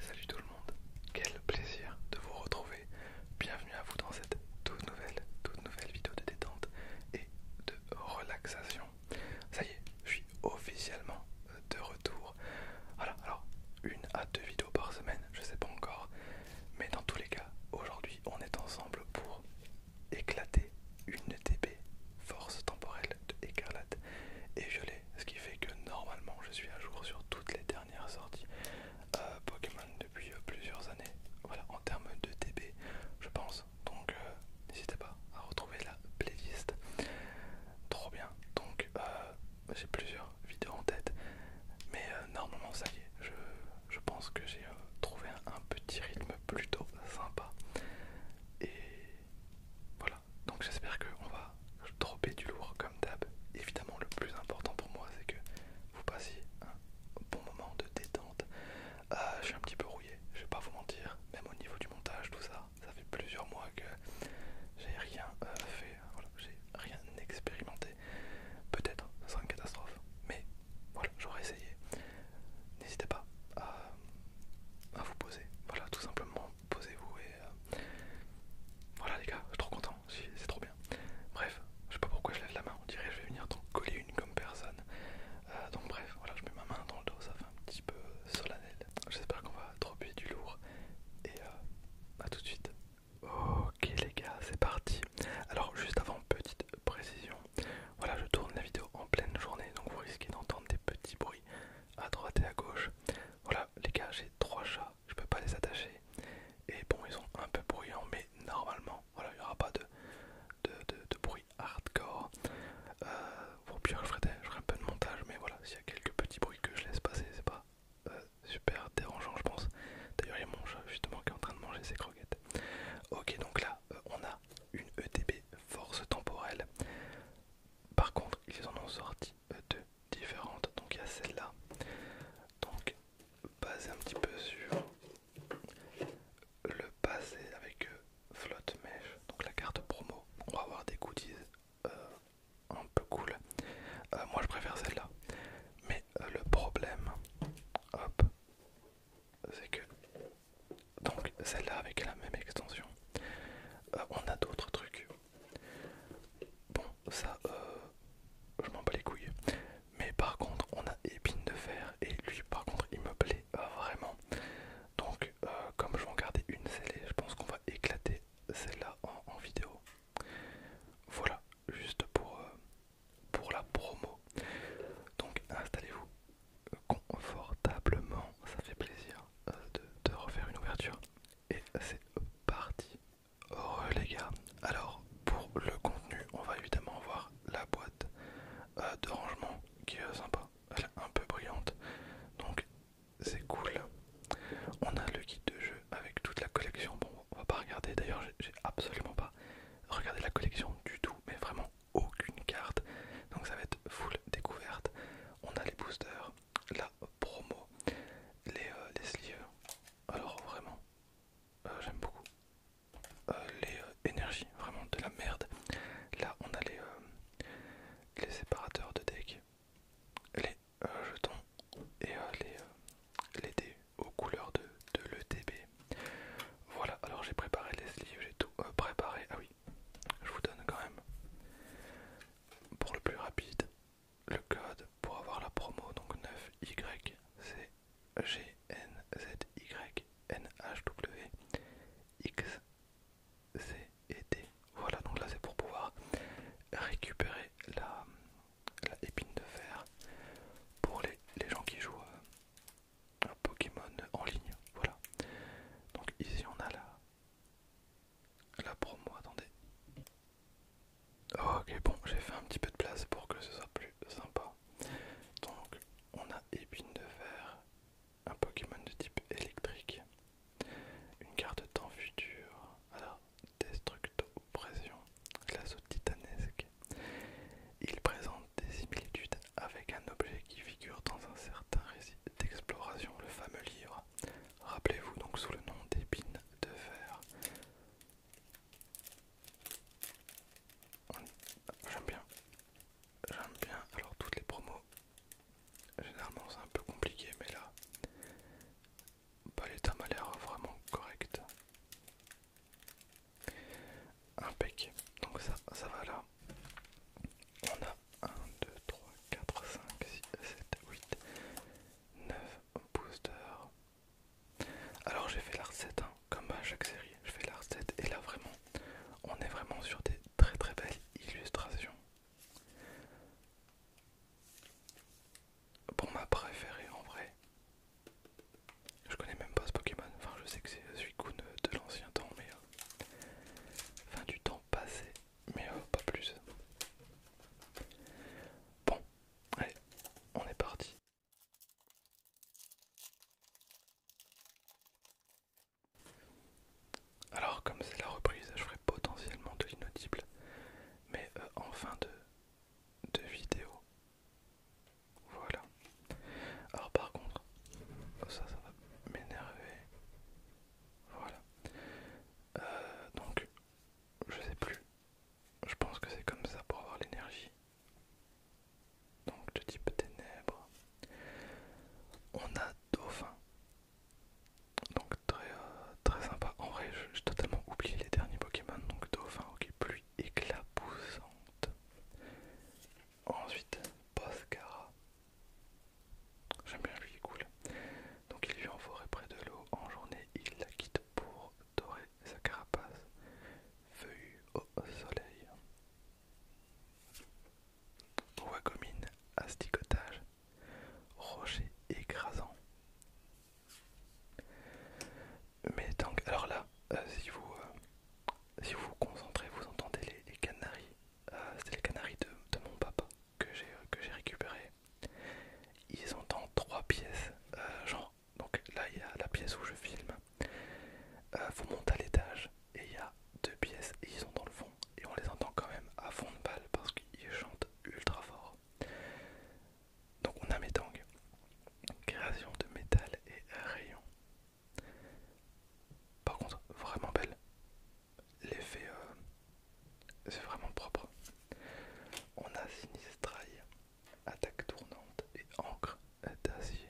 Salut tout le monde, quel plaisir de vous retrouver. Bienvenue à vous dans cette toute nouvelle, toute nouvelle vidéo de détente et de relaxation. Ça y est, je suis officiellement de retour. Voilà, alors une à deux vidéos par semaine, je sais pas encore, mais dans tous les cas, aujourd'hui on est ensemble pour éclater une TP force temporelle écarlate et violet, ce qui fait que normalement je suis à jour sur toutes les dernières sorties euh, Pokémon depuis euh, plusieurs années. Voilà, en termes de DB je pense. Donc euh, n'hésitez pas à retrouver la playlist. Trop bien. Donc j'ai plusieurs vidéos en tête, mais normalement ça y est, je, pense que j'ai trouvé un, un petit rythme plutôt sympa. Et voilà, donc j'espère qu'on va dropper du lourd comme d'hab. Évidemment, le plus important pour moi, c'est que vous passiez un bon moment de détente. Euh, je suis un petit peu rouillé, je vais pas vous mentir, même au niveau du montage, tout ça. Ça fait plusieurs mois que j'ai rien euh, fait, j'ai rien expérimenté. Peut-être, ce sera une catastrophe, mais voilà, j'aurais essayé. N'hésitez pas à vous poser, voilà, tout simplement posez-vous et euh, voilà les gars, je suis trop content, c'est trop bien. Bref, je sais pas pourquoi je lève la main, on dirait que je vais venir donc coller une comme personne. Euh, donc bref, voilà, je mets ma main dans le dos, ça fait un petit peu solennel. J'espère qu'on va buer du lourd et euh, à tout de suite. Ok les gars, c'est parti. Alors juste avant petite précision, voilà, je tourne la vidéo en pleine journée, donc vous risquez d'entendre des petits bruits à droite et à gauche. Voilà, les gars, j'ai trois chats, je peux pas les attacher. Et bon, ils sont un peu bruyants, mais normalement, voilà, il n'y aura pas de, de, bruit hardcore. pour euh, pire, je ferai, un peu de montage, mais voilà, s'il y a quelques petits bruits que je laisse passer, c'est pas euh, super dérangeant, je pense. D'ailleurs, il y a mon chat justement qui est en train de manger ses croquettes. Ok, donc là, euh, on a une ETB force temporelle par contre, ils en ont sorti euh, deux différentes. Donc il y a celle-là. Donc basée un petit peu sur le passé avec euh, flotte mèche. Donc la carte promo. pour avoir des goodies euh, un peu cool. moi je préfère celle-là. Mais le problème, hop, c'est que donc celle-là avec la même extension. Euh, on a d'autres trucs. Bon, ça, euh, je m'en bats les couilles. Mais par contre, on a épine de fer et lui, par contre, il me plaît vraiment. Donc, euh, comme je vais en garder une scellée, je pense qu'on va éclater celle-là en, vidéo. Voilà, juste pour, pour la promo. Donc, installez-vous confortablement, ça fait plaisir de, refaire une ouverture. Et c'est parti. Oh les gars, alors pour le contenu, on va évidemment voir la boîte euh, de rangement qui est sympa. Elle est un peu brillante, donc c'est cool. On a le guide de jeu avec toute la collection. Bon, on va pas regarder. D'ailleurs, j'ai absolument pas regardé la collection du tout, mais vraiment aucune carte. Donc ça va être full découverte. On a les boosters, la promo, les, euh, les sleeves. Alors vraiment, euh, j'aime beaucoup. Euh, les énergies, vraiment de la merde. Là, on a les, séparateurs de deck, les jetons et les, dés aux couleurs de, de l'ETB. Voilà, alors j'ai préparé les sleeves, j'ai tout préparé. Ah oui, je vous donne quand même. Pour le plus rapide, le code pour avoir la promo, donc 9Y, et D, Voilà, donc là c'est pour pouvoir récupérer la, épine de fer pour les, les gens qui jouent euh, à Pokémon en ligne. Voilà. Donc ici on a la, la promo, attendez. Ok, bon, j'ai fait un petit peu de place pour que ce soit plus sympa. Donc, on a épine de fer, un Pokémon de type électrique, une carte temps futur, alors destructo pression, titanesque. Il présente des similitudes avec un objet qui figure dans un certain récit d'exploration, le fameux livre. Rappelez-vous donc sous le nom d'épines de fer. J'aime bien. J'aime bien. Alors toutes les promos, généralement c'est un peu compliqué, mais là, pas les termes l'air vraiment correct. Impeccable. Donc ça, ça va là on a 1, 2, 3, 4, 5, 6, 7, 8, 9 boosters. Alors j'ai fait la recette, hein, comme à chaque série, je fais la recette et là vraiment, on est vraiment sur des très très belles illustrations. Bon ma préférée en vrai, je connais même pas ce Pokémon, enfin je sais que c'est Suicune de l'ancien temps, mais euh, Fin du temps passé, mais euh, pas plus. Bon, allez, on est parti. Alors comme c'est la reprise, je ferai potentiellement de l'inaudible, mais euh, en fin de, de vidéo. Voilà. Alors par contre, oh, ça, ça va m'énerver. Voilà. Euh, donc, je sais plus. Je pense que c'est comme ça pour avoir l'énergie. Donc, de type ténèbres. On a dauphin. Donc, très, euh, très sympa. En vrai, j'ai totalement oublié les derniers Pokémon. Donc, dauphin, ok, pluie éclaboussante. Ensuite, scara. J'aime bien lui, il est Donc il vit en forêt près de l'eau. En journée, il la quitte pour dorer sa carapace feuillue au soleil. Wagomine, asticotage, rocher écrasant. Mais donc, alors là, euh, euh, si vous vous, concentrez, vous entendez les, les canaris euh, c'était les canaris de, mon papa que j'ai euh, récupéré. Ils sont dans trois pièces, euh, genre, donc là il y a la pièce où je filme, ils vous monter à l'étage et il y a deux pièces et ils sont dans le fond et on les entend quand même à fond de balle parce qu'ils chantent ultra fort. Donc on a mes Métang, création de métal et rayon. Par contre, vraiment belle. L'effet, euh, c'est vraiment propre. On a Sinistraille, attaque tournante et encre d'acier.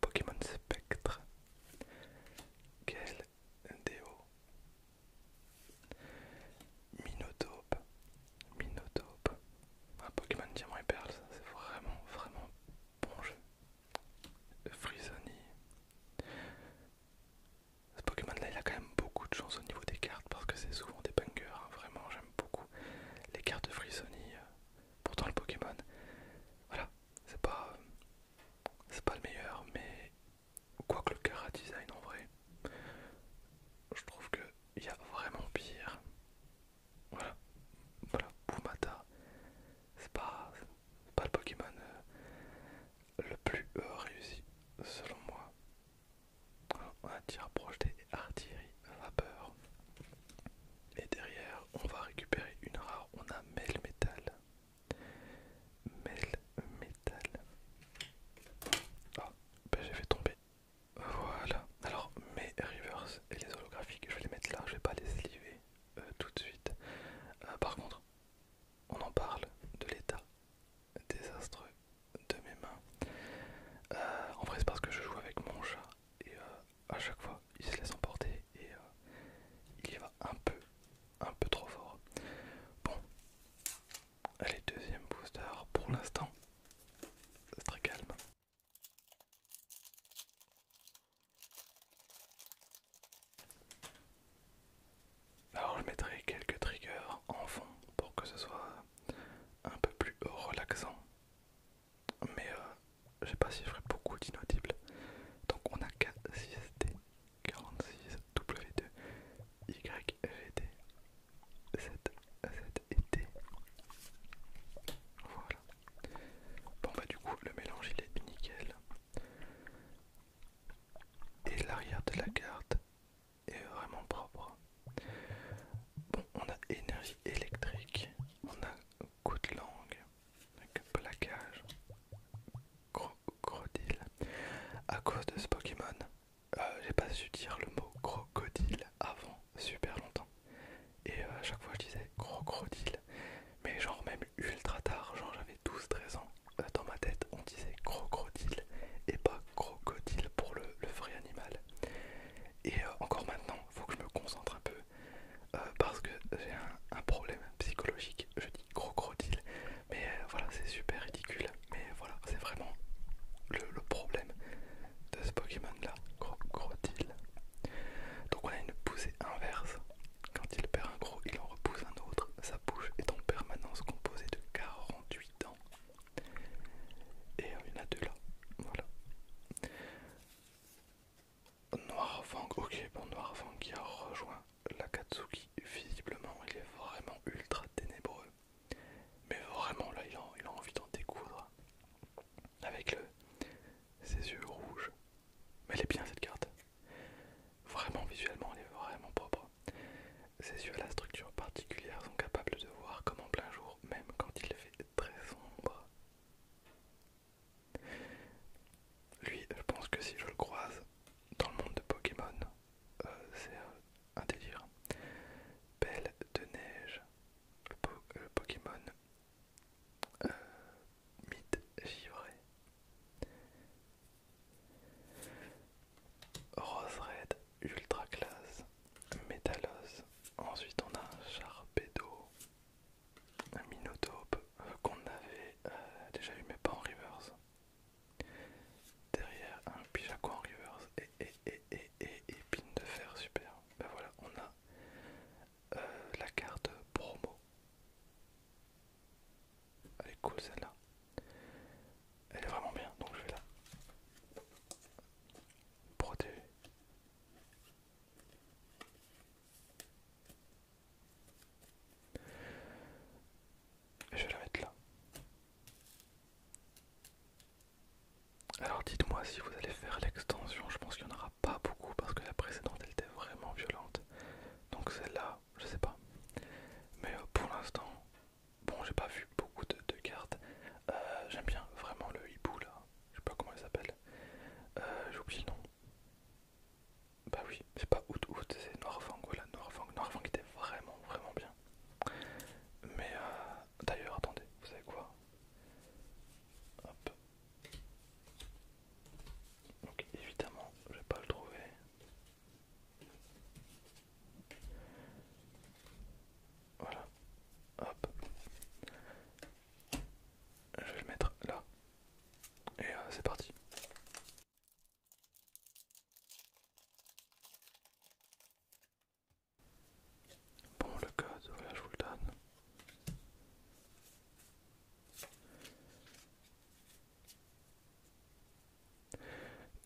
Pokémon Spectre. Quel déo. Minotope. Minotope. Un Pokémon Diamant et Perle, c'est vraiment, vraiment bon jeu. Frizzoni. Ce Pokémon là il a quand même beaucoup de chance au niveau des cartes parce que c'est souvent des bangers, hein, vraiment j'aime beaucoup les cartes de Free euh, Pourtant le Pokémon, voilà, c'est pas, pas le meilleur, mais quoi que le à Design en vrai, je trouve qu'il y a vraiment pire. Voilà, voilà, Pumata, c'est pas, pas le Pokémon euh, le plus euh, réussi selon moi. on tir projeté artillerie vapeur. Et derrière, on va récupérer une rare. On a Mel Metal. Mel Metal. Ah, ben, j'ai fait tomber. Voilà. Alors, mes reverse et les holographiques, je vais les mettre là. Je vais pas les sliver euh, tout de suite. Euh, par contre, on en parle de l'état désastreux de mes mains. Euh, en vrai, c'est parce que je joue avec mon chat et à chaque fois il se laisse emporter et il y va un peu, un peu trop fort. Bon, allez, deuxième booster pour l'instant, c'est très calme. Alors bah, je mettrai quelques triggers en fond pour que ce soit un peu plus relaxant. Mais je euh, je sais pas si je ferai beaucoup d'inaudibles. Donc on a K6D46W2YVD7Z et Voilà. Bon bah du coup le mélange il est nickel. Et l'arrière de la carte est vraiment propre. Bon on a énergie électrique, on a coup de langue, avec plaquage, crocodile. À cause de ce Pokémon, euh, j'ai pas su dire le mot crocodile avant super longtemps. Et euh, à chaque fois je disais crocodile mais genre même ultra tard, genre j'avais 12-13 ans, euh, dans ma tête on disait crocodile et pas crocodile pour le, vrai animal. Et euh, encore maintenant, il faut que je me concentre un peu euh, parce que j'ai un, problème psychologique, je dis crocodile, mais voilà c'est super ridicule, mais voilà c'est vraiment le, le problème de ce Pokémon là, crocodile. Donc on a une poussée inverse quand il perd un gros, il en repousse un autre. Sa bouche est en permanence composée de 48 dents. Et il y en a deux là. Voilà. Noirfang, ok, bon Noirfang qui a rejoint Katsuki. Visiblement, il est vraiment ultra ténébreux. Mais vraiment, là, il a, envie d'en découdre. Avec ses yeux rouges, mais elle est bien cette carte. Vraiment visuellement, elle est vraiment propre. Ses yeux à la structure particulière sont capables de voir comme en plein jour, même quand il fait très sombre. Lui, je pense que si je le croise dans le monde de Pokémon, euh, c'est un délire. Belle de neige, le, Pokémon euh, Mite givré. Rose Red Ultra Classe Métallos. Ensuite on a un Charpedo, un Minotope qu'on avait déjà eu mais pas en reverse. Derrière un Pijaco en reverse et, et, de fer super. Ben voilà, on a euh, la carte promo. Elle est cool celle-là. Elle est vraiment bien, donc je vais la protéger. Et je vais la mettre là. Alors dites-moi si vous allez faire l'extension, je pense qu'il y en aura pas beaucoup parce que la précédente elle était vraiment violente. Donc celle-là, je sais pas. Mais euh, pour l'instant, bon, j'ai pas vu beaucoup de, cartes. Euh, j'aime bien vraiment le hibou là. Je sais pas comment il s'appelle. Euh, J'oublie le nom. Bah oui, c'est pas Out Out, c'est Noirfang. Voilà, Noirfang. était vraiment, vraiment bien. Mais d'ailleurs, attendez, vous savez quoi Hop, donc évidemment, je vais pas le trouver. Voilà. Hop. Je vais le mettre là. Et euh, c'est parti. Bon, le code, voilà, je vous le donne.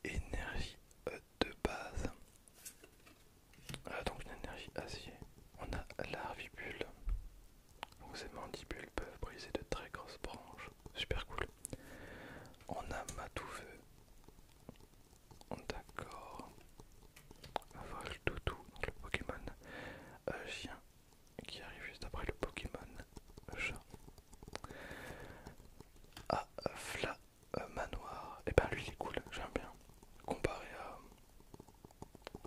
Énergie de base. Ah, donc une énergie acier. On a l'arvibule. Donc ces mandibules peuvent briser de très grosses branches. Super cool. On a Matoufeu. D'accord. toutou donc le Pokémon. Euh, chien qui arrive juste après le Pokémon chat. Ah, Fla euh, Manoir. Et eh ben lui il est cool, j'aime bien. Comparé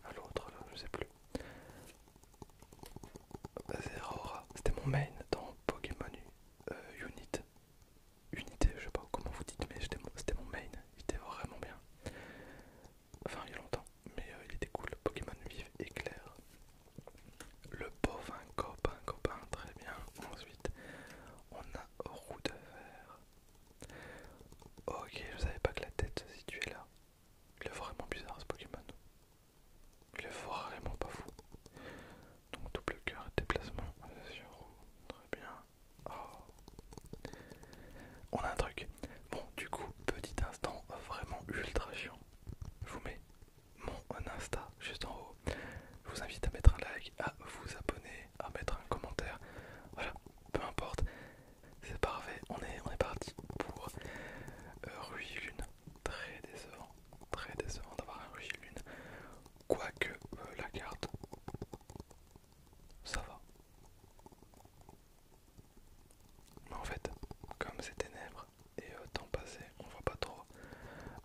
à, l'autre, là, je sais plus. c'était mon main dans Pokémon euh, Unit. Unité, je sais pas comment vous dites, mais c'était mon, mon main, il était vraiment bien. Enfin, il y a longtemps mais euh, il était cool. Pokémon Vive clair Le bovin copain, copain, très bien. Ensuite, on a roue de Ok, je savais pas que la tête se situait là. Il est vraiment bizarre ce Pokémon. Il est vraiment pas fou. Donc double cœur déplacement euh, sur roue. Très bien. Oh. On a un truc. Bon, du coup, petit instant vraiment ultra chiant. Je vous mets mon Insta juste en haut. Je vous invite à mettre un like, à vous abonner, à mettre un commentaire. Voilà, peu importe. C'est parfait. On est, on est parti pour euh, Ruilune Très décevant. Très décevant d'avoir un Ruy Lune. Quoique euh, la carte ça va. Mais en fait, comme c'est ténèbres et euh, temps passé, on voit pas trop.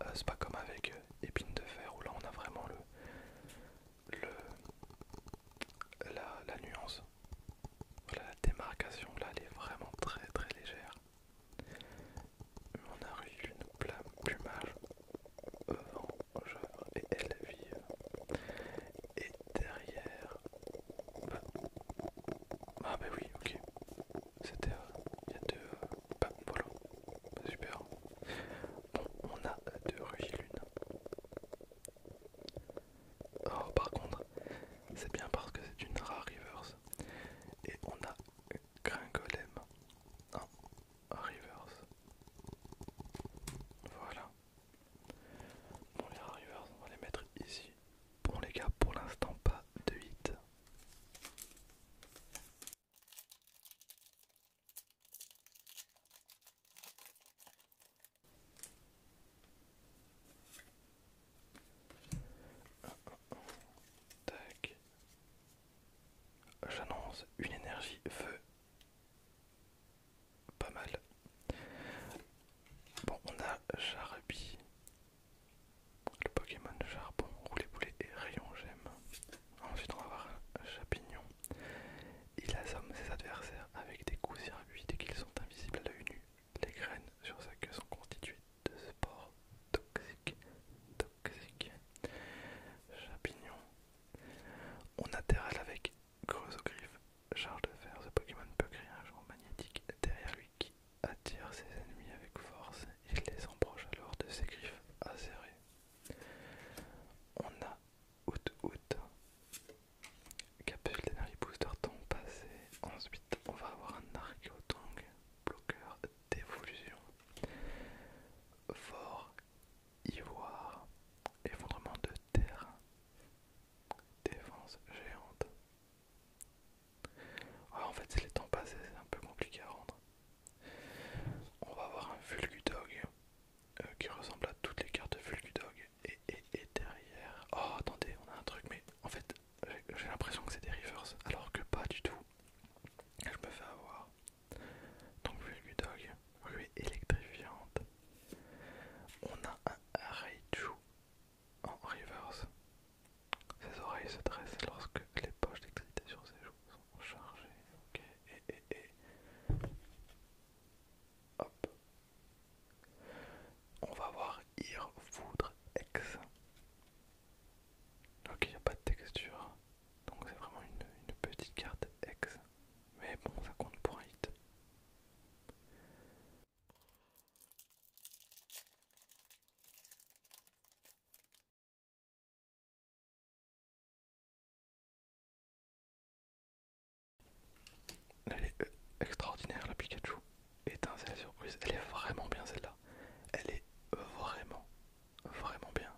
Euh, c'est pas comme avec euh, épines de fer où là on a vraiment le, la, la nuance. la démarcation là elle est vraiment très très légère. On a eu une plumage euh, et elle vit et derrière... Bah, ah bah oui, ok. C'était... Euh, il y a deux... Euh, bah voilà. Bah, super. Bon, on a deux rugilunes. Oh, par contre, c'est bien parce que c'est une rare reverse. Et on a Gringolem. Non, Reverse. Voilà. Bon les rivers, on va les mettre ici. Bon les gars, pour l'instant pas de hit. Tac. J'annonce une énergie feu pas mal. Bon, on a Charby, le Pokémon Charbon, roulet Boulet et Rayon J'aime. Ensuite, on va avoir Chapignon. Il assomme ses adversaires avec des coups circuits dès qu'ils sont invisibles à l'œil nu. Les graines sur sa queue sont constituées de spores toxiques. toxiques. Chapignon. On atterrale avec Creuse aux griffes, charge de fer, ce Pokémon peut créer un genre magnétique derrière lui qui attire ses ennemis avec force. et les emproche alors de ses griffes acérées. On a out out. Capsule d'énergie booster temps passé. Ensuite, on va avoir un Archéotongue, bloqueur d'évolution. Fort, ivoire, effondrement de terre. Défense géante. Ah, en fait, c'est les temps passés, c'est un peu compliqué à rendre. On va avoir un Vulgudog euh, qui ressemble à toutes les cartes de Vulgudog. Et, et, derrière. Oh, attendez, on a un truc, mais en fait, j'ai l'impression que c'est des rivers alors que pas du tout. Je me fais avoir. Donc, Vulgudog. Rue électrifiante. On a un raidou en reverse. Ses oreilles se dressent lorsque les poches d'électricité sur ses joues sont chargées. Ok, et, Hop. On va voir Ir Foudre X. Ok, il n'y a pas de texture. Donc c'est vraiment une, une petite carte X. Mais bon, ça compte pour un hit. Elle est euh, extraordinaire la Pikachu. Étincelle surprise. Elle est vraiment bien celle-là. Elle est vraiment, vraiment bien.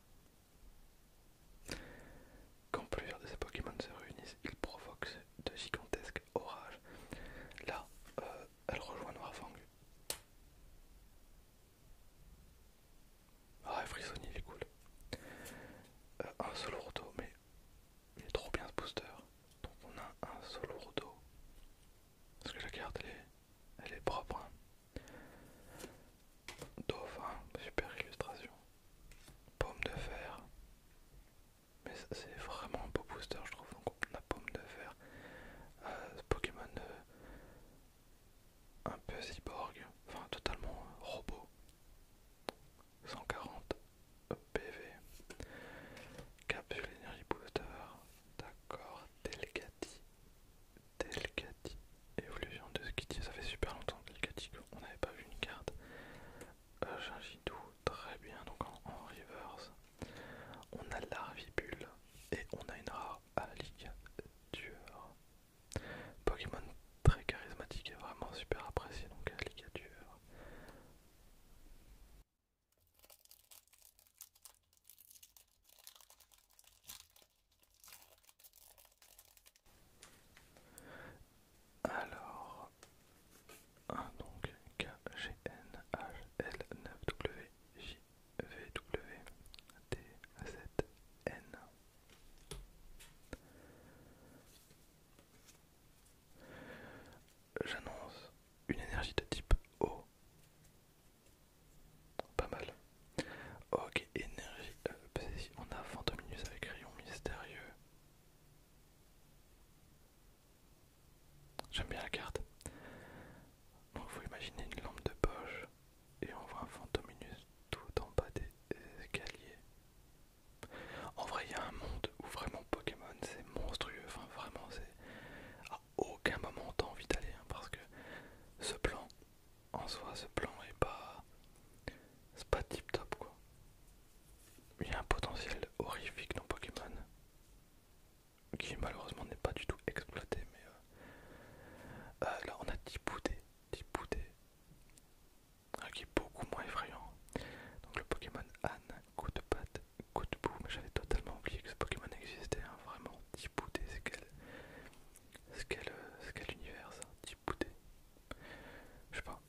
Quand plusieurs de ces Pokémon se réunissent, ils provoquent de gigantesques orages. Là, euh, elle rejoint Noirfang. Ah, Frisson, il est cool. Euh, un un Solourdo, mais il est trop bien ce booster. Donc on a un Solourdo. Parce que la carte, elle est, propre. Hein. Dauphin, super illustration. Paume de fer. Mais c'est vraiment un beau booster, je trouve. Donc on a Paume de fer. Euh, Pokémon euh, un peu cyborg, enfin totalement euh, robot. 140 PV. Capsule énergie booster. D'accord. Delgati, Delicati, Évolution de Skitty. Ça fait super longtemps Delcati qu'on n'avait pas vu une carte euh, très bien, donc en, reverse. On a l'Arvibule et on a une rare Alligature. Pokémon très charismatique et vraiment super apprécié, donc Alligature. Alors, donc L9W N. J'annonce une énergie de type O. Pas mal. Ok, énergie. Euh, on a Fantominus avec rayon mystérieux. J'aime bien la carte. Donc faut imaginer une lampe de poche et on voit un fantominus tout en bas des escaliers. En vrai il y a un monde où vraiment Pokémon c'est monstrueux, enfin vraiment c'est... À aucun moment on t'a envie d'aller hein, parce que ce plan en soi ce plan est pas c'est pas tip top quoi. Il y a un potentiel horrifique dans Pokémon qui malheureusement n'est pas du tout exploité mais euh, euh, là on a Tipoudé, Tipoudé euh, qui est beaucoup moins effrayant donc le Pokémon Anne, coup de patte, coup de boue mais j'avais totalement oublié que ce Pokémon existait hein. vraiment vraiment Tipoudé c'est quel, quel, quel univers ça Tipoudé je sais pas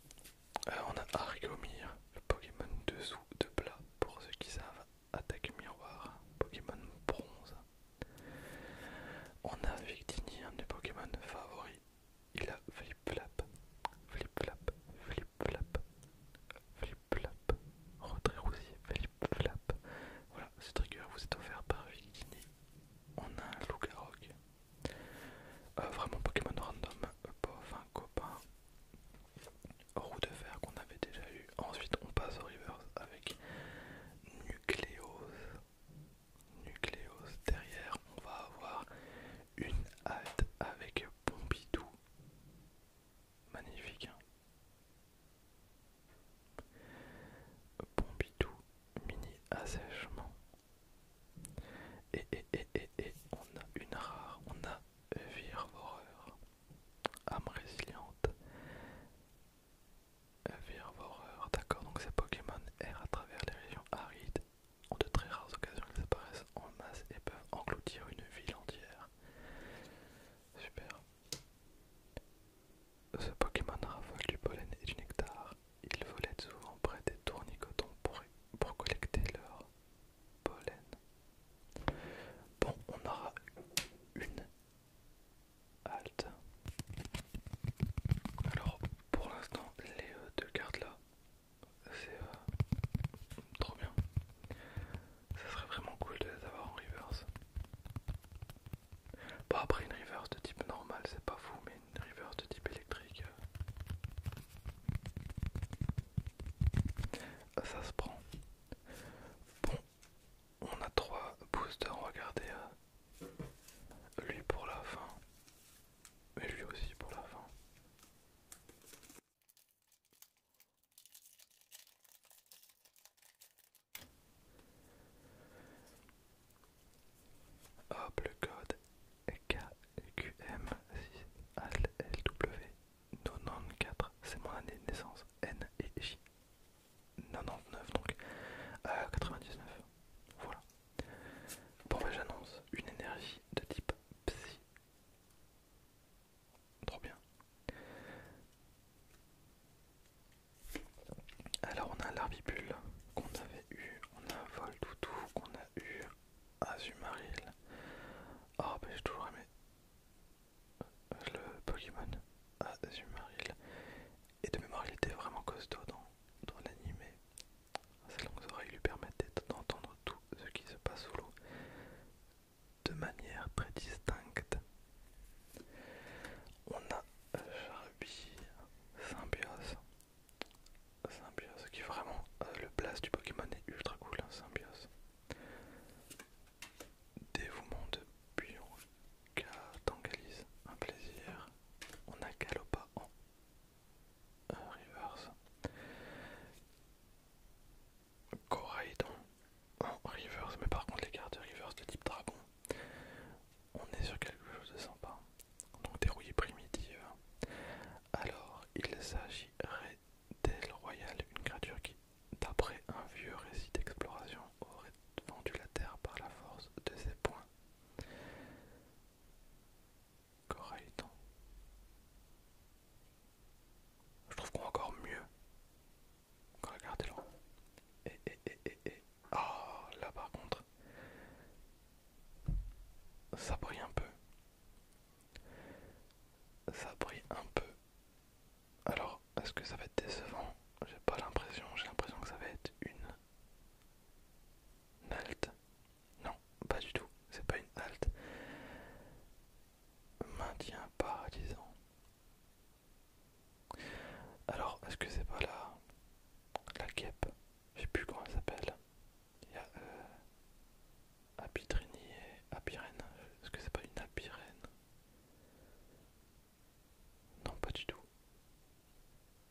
euh, on a Argomir, le Pokémon dessous de plat pour ceux qui savent. Attaque miroir, Pokémon bronze. On a Victini, un des Pokémon favoris. Il a flip-flap, flip-flap, flip-flap, flip-flap, retrait rousier, flip-flap. Voilà, ce trigger vous est offert par Victini. On a un euh, vraiment Pokémon random, euh, bof, un copain. Roue de fer qu'on avait déjà eu. Ensuite on passe au reverse avec Nucleos. Nucleos derrière on va avoir une halte avec Bombidou. Magnifique. Hein. Pompidou, mini assèchement. Et, et, on a une rare, on a Virvoreur, âme résiliente. Virvoreur, d'accord, donc ces Pokémon errent à travers les régions arides. En de très rares occasions, ils apparaissent en masse et peuvent engloutir une ville entière. Super. Ce Pokémon raffole du pollen et du nectar ils volaient souvent près des tournicotons pour, pour collecter leur pollen. Bon, on aura une halte. Alors, pour l'instant, les euh, deux cartes là, c'est euh, trop bien. Ça serait vraiment cool de les avoir en reverse. Pas après une reverse de type normal, c'est pas fou, mais une de type électrique. Ça se prend. Bon, on a trois boosters, regardez. Hein. Lui pour la fin. mais lui aussi pour la fin. Hop, le code KQM6ALW94, c'est mon année de naissance, N et J. 99 donc, 99, euh, voilà. Bon bah j'annonce une énergie de type psy. Trop bien. Alors on a l'arbibule qu'on avait on eu, Vol tout tout qu'on a eu, Azumarill. Ah, oh, ben j'ai toujours aimé euh, le Pokémon Azumarill. Et de mémoire, il était vraiment costaud dans, dans l'animé. Ses longues oreilles lui permettaient d'entendre tout ce qui se passe sous l'eau de manière très distincte. On a euh, Charubi, Symbios. Symbiose qui est vraiment euh, le blast du Pokémon est ultra cool hein, Symbiose Dévouement de en Tangalise un plaisir on a Galopa en euh, reverse en reverse mais par contre les cartes de reverse de type dragon on est sur quelque chose de sympa, donc des rouillées primitives. Euh. Alors, il s'agirait d'El Royal, une créature qui, d'après un vieux récit d'exploration, aurait vendu la terre par la force de ses poings. Correct. Je trouve qu'on encore mieux. Regardez-le. Ah là par contre, ça brille un peu. Ça brille un peu. Alors, est-ce que ça va être décevant J'ai pas l'impression, j'ai l'impression que ça va être une... Non, pas du tout, c'est pas une halte. Maintien paradisant Alors, est-ce que c'est pas la... la guêpe je sais plus comment elle s'appelle. Il y a euh, Apitrini et Apirène. Est-ce que c'est pas une Apirène Non, pas du tout.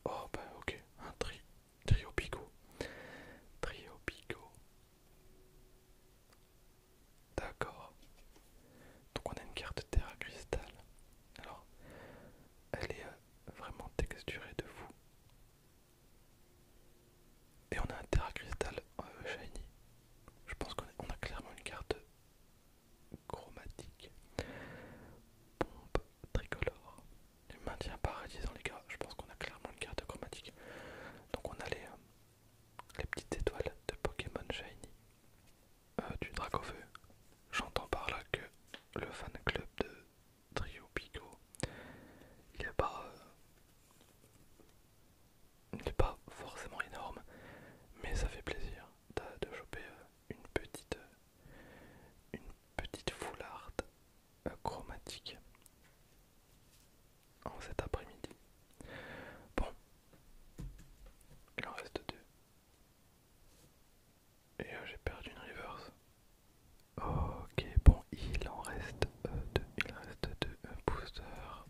Oh, ben ok, un tri, trio Trio D'accord. Donc on a une carte terre à cristal. Alors, elle est euh, vraiment texturé de fou. Et on a un Terra Crystal euh, Shiny. Je pense qu'on a, clairement une carte chromatique. Pompe tricolore. du maintien dans les gars. Je pense qu'on a clairement une carte chromatique. Donc on a les, euh, petites étoiles de Pokémon Shiny. Euh, du du feu J'entends par là que le fan club de Trio Pico, il n'est pas, euh, pas forcément énorme, mais ça fait plaisir de, choper euh, une petite, euh, une petite foularde chromatique en cet après-midi. Bon, il en reste deux. Et euh, j'ai perdu une reverse. Ok, bon, il en reste euh, deux. Il reste deux boosters.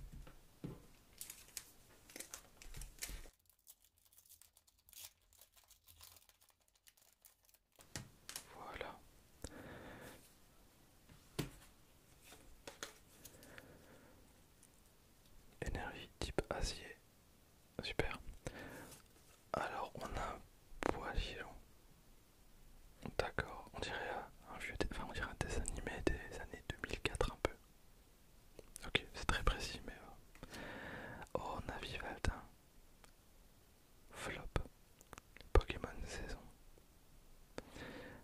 Voilà. Énergie type acier, Super. Alors, on a un D'accord, on dirait un vieux, enfin on dirait un dessin animé des années 2004 un peu. Ok, c'est très précis, mais euh, oh, a Vivaldin. flop, Pokémon saison.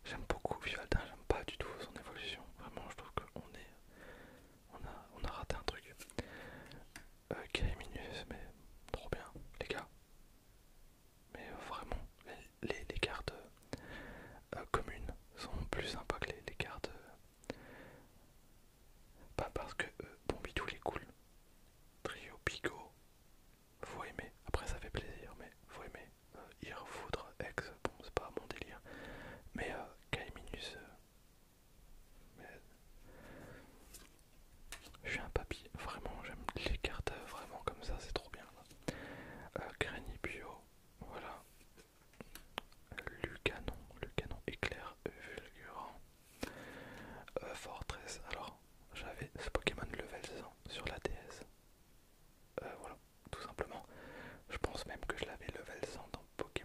J'aime beaucoup Vivaldin, j'aime pas du tout son évolution. Vraiment, je trouve qu'on est on a, on a raté un truc. Euh, minus, mais trop bien, les gars. Mais vraiment, les, les, cartes euh, euh, communes sont plus sympas que les, cartes. Euh, pas parce que euh, Bombidou les cool. Trio Pigo, faut aimer. Après, ça fait plaisir, mais faut aimer. Euh, Foudre, Ex, bon, c'est pas mon délire. Mais mais... Je suis un papy, vraiment j'aime les cartes euh, vraiment comme ça, c'est trop bien. Euh, Bio, voilà. Lucanon, Lucanon éclair fulgurant. Euh, Fortress, alors j'avais ce Pokémon level 100 sur la DS. voilà, tout simplement. Je pense même que je l'avais level 100 dans Pokémon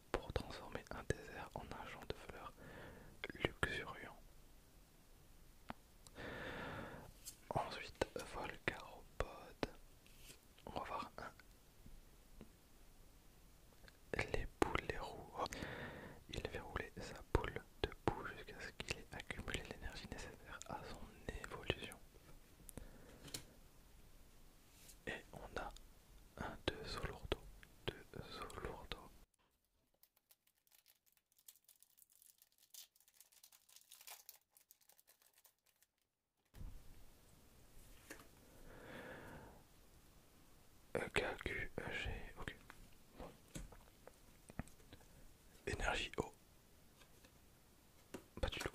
pour transformer un désert en un champ de fleurs luxuriant. Ensuite, Volcaropode. On va voir un. Les boules, les roues. Oh. Il fait rouler sa boule de boue jusqu'à ce qu'il ait accumulé l'énergie nécessaire à son évolution. Et on a deux 2, sur 2, K, Q, e G, ok. Énergie O. Pas du tout.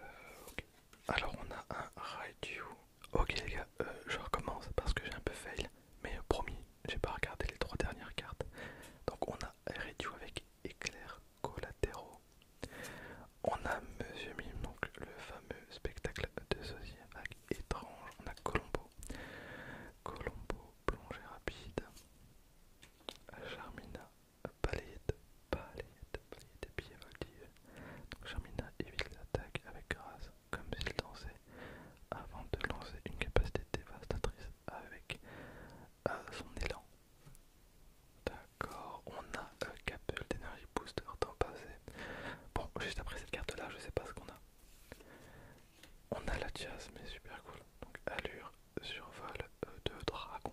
Euh, alors on a un radio. Ok les gars, euh, je recommence parce que j'ai un peu fail, mais promis, j'ai pas regardé les trois dernières cartes. Donc on a radio avec éclair collatéraux. On a Monsieur Mime, donc le fameux spectacle de avec étrange. On a Colombo. Colombo, plongée rapide. Charmina, balayette balayette, balayette des pieds voltige. Donc Charmina évite l'attaque avec grâce, comme s'il dansait, avant de lancer une capacité dévastatrice avec euh, son élan. D'accord, on a un euh, Capel d'énergie booster temps passé. Bon, juste après cette carte là, je sais pas ce qu'on a. On a la jazz, mais super cool. Donc, allure, survol vol euh, de dragon.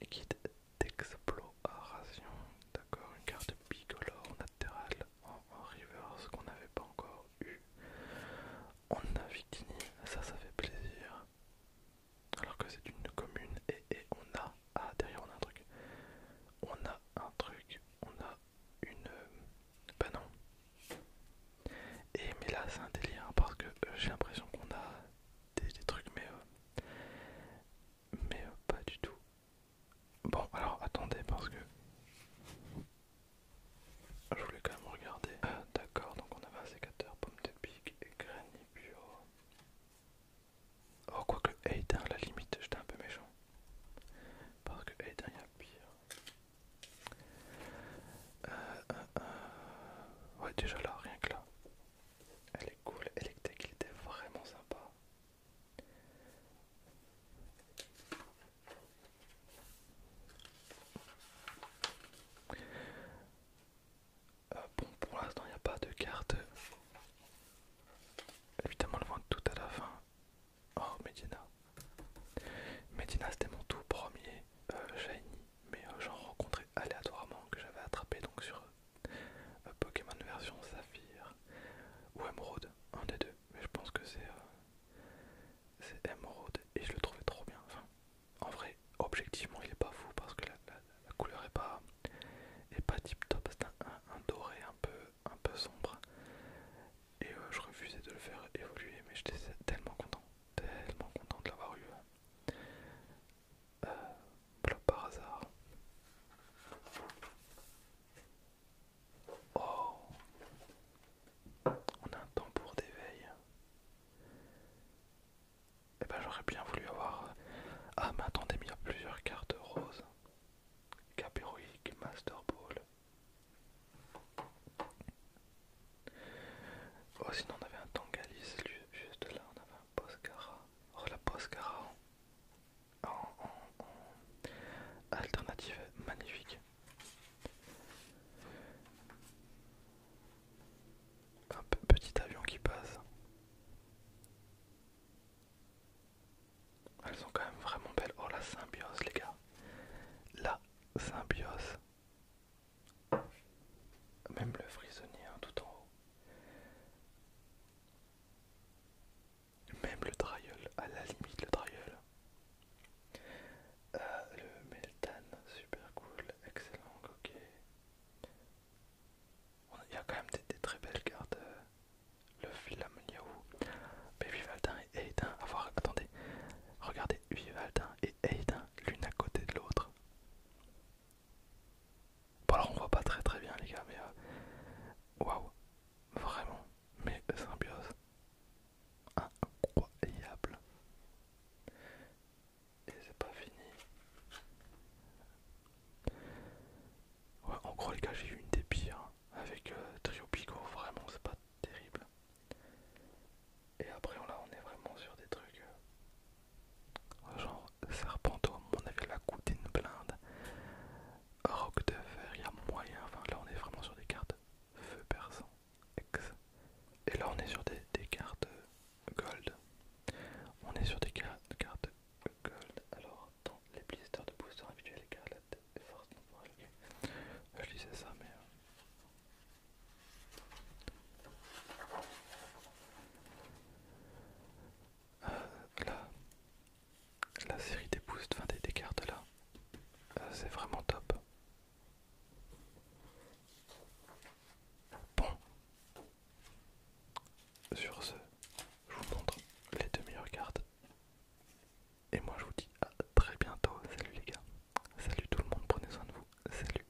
Et d'exploration. D'accord, une carte bicolore en en, en reverse qu'on n'avait pas encore eu. On a ça, ça fait plaisir. Alors que c'est une commune et, on a... Ah, derrière on a un truc. On a un truc, on a une... Euh, bah non. Et mais là c'est un délire hein, parce que euh, j'ai l'impression qu'on a des, trucs mais... Euh, mais euh, pas du tout. Bon, alors attendez parce que je voulais quand même regarder. Ah, d'accord, donc on avait un sécateur, pomme de pique et granny bio. Oh, quoique Aiden, à la limite, j'étais un peu méchant. Parce que Aiden, il y a pire. Euh, euh, ouais, déjà là, rien que là cool et il était vraiment sympa. Euh, bon, pour l'instant, il n'y a pas de carte. Évidemment, le vendre tout à la fin. Oh, Medina. Medina, c'était mon tout premier euh, Shiny, mais euh, j'en rencontrais aléatoirement que j'avais attrapé donc sur euh, Pokémon version Saphir ou émeraude, un des deux, mais je pense que c'est émeraude, euh, et je le trouvais trop bien. Enfin, en vrai, objectivement, il est pas fou parce que la, couleur est pas, pas tip top, c'est un, doré un peu, un peu sombre et euh, je refusais de le faire évoluer, mais j'étais tellement content, tellement content de l'avoir eu euh, par hasard. Oh On a un tambour d'éveil. Et eh ben j'aurais bien voulu avoir... Euh, ah mais attendez, il y a plusieurs cartes roses. Capéroïque, Master Ball. Oh sinon on avait un Tangalis juste là, on avait poskara, Oh la Poscara en, alternative magnifique. Un petit avion qui passe. Elles sont quand même vraiment belles. Oh la symbiose les gars. La symbiose. Même le frisonnier hein, tout en haut. Même le trial, à la limite le trial. Ah, le Meltan, super cool, excellent, ok. Il y a quand même des, très belles cartes. Euh, le Flamoniaou, Baby et à Avoir, attendez, regardez, Vivaldin et Aiden, l'une à côté de l'autre. Bon alors on voit pas très très bien les gars, mais euh, waouh, vraiment, mais symbiose incroyable. Et c'est pas fini. on en gros les gars, j'ai eu une des pires hein, avec euh, Trio Pico, vraiment c'est pas terrible. Et après on, là on est vraiment sur des trucs euh, Genre Serpento, on avait la la d'une blinde. Rock de fer, il y a moyen. Enfin, là, on est vraiment sur des cartes feu persan. Ex. Et là, on est sur des, cartes euh, gold. On est sur des cartes, cartes gold. Alors, dans les blisters de booster individuels, les cartes Je lisais ça, mais. Euh. Euh, la, série des boosts, enfin des, cartes là, euh, c'est vraiment top. Bon, sur ce, je vous montre les deux meilleures cartes. Et moi je vous dis à très bientôt. Salut les gars. Salut tout le monde, prenez soin de vous. Salut.